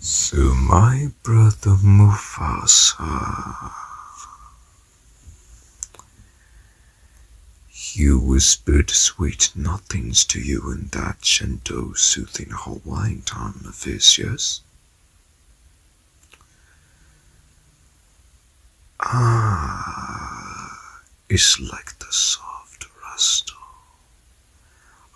So my brother Mufasa, you whispered sweet nothings to you and I that gentle, soothing Hawaiian tone of his, yes? Ah, it's like the soft rustle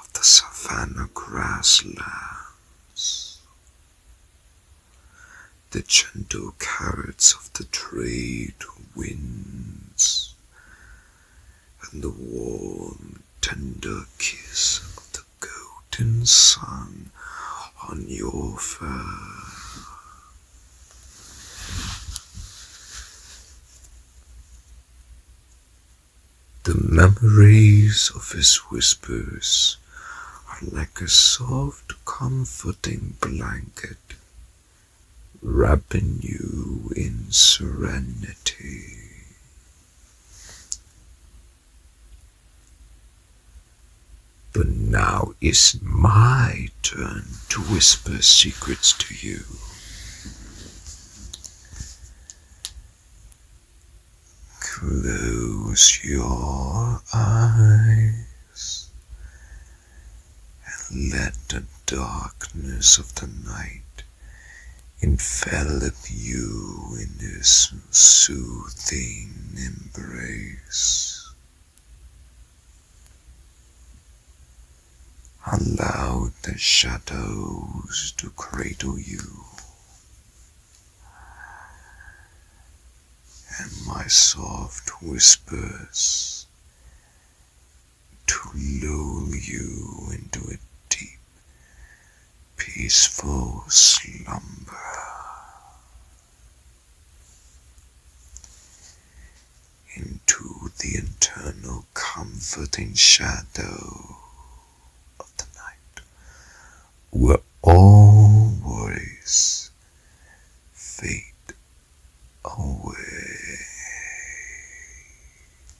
of the savanna grasslands, the gentle carrots of the trade winds, and the warm, tender kiss of the golden sun on your fur. The memories of his whispers are like a soft, comforting blanket, wrapping you in serenity. But now is my turn to whisper secrets to you. Close your eyes and let the darkness of the night envelop you in his soothing embrace. Allow the shadows to cradle you, and my soft whispers to lull you into a deep peaceful slumber. Into the eternal comforting shadow of the night, where all worries fade away.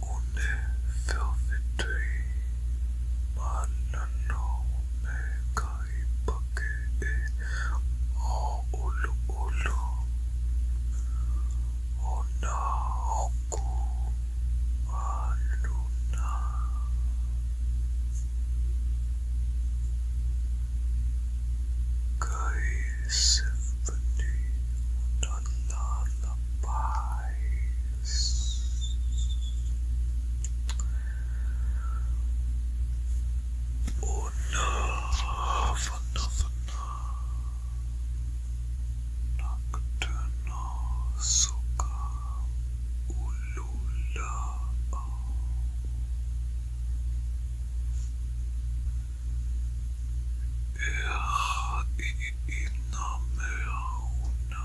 오늘 velvety 만나놈의 가입하기에 어울루 울루 어나오고 말루나 가이 세븐이 난나나바이 Enough, enough, enough. Nocturnal soca, ulula. Er inamera una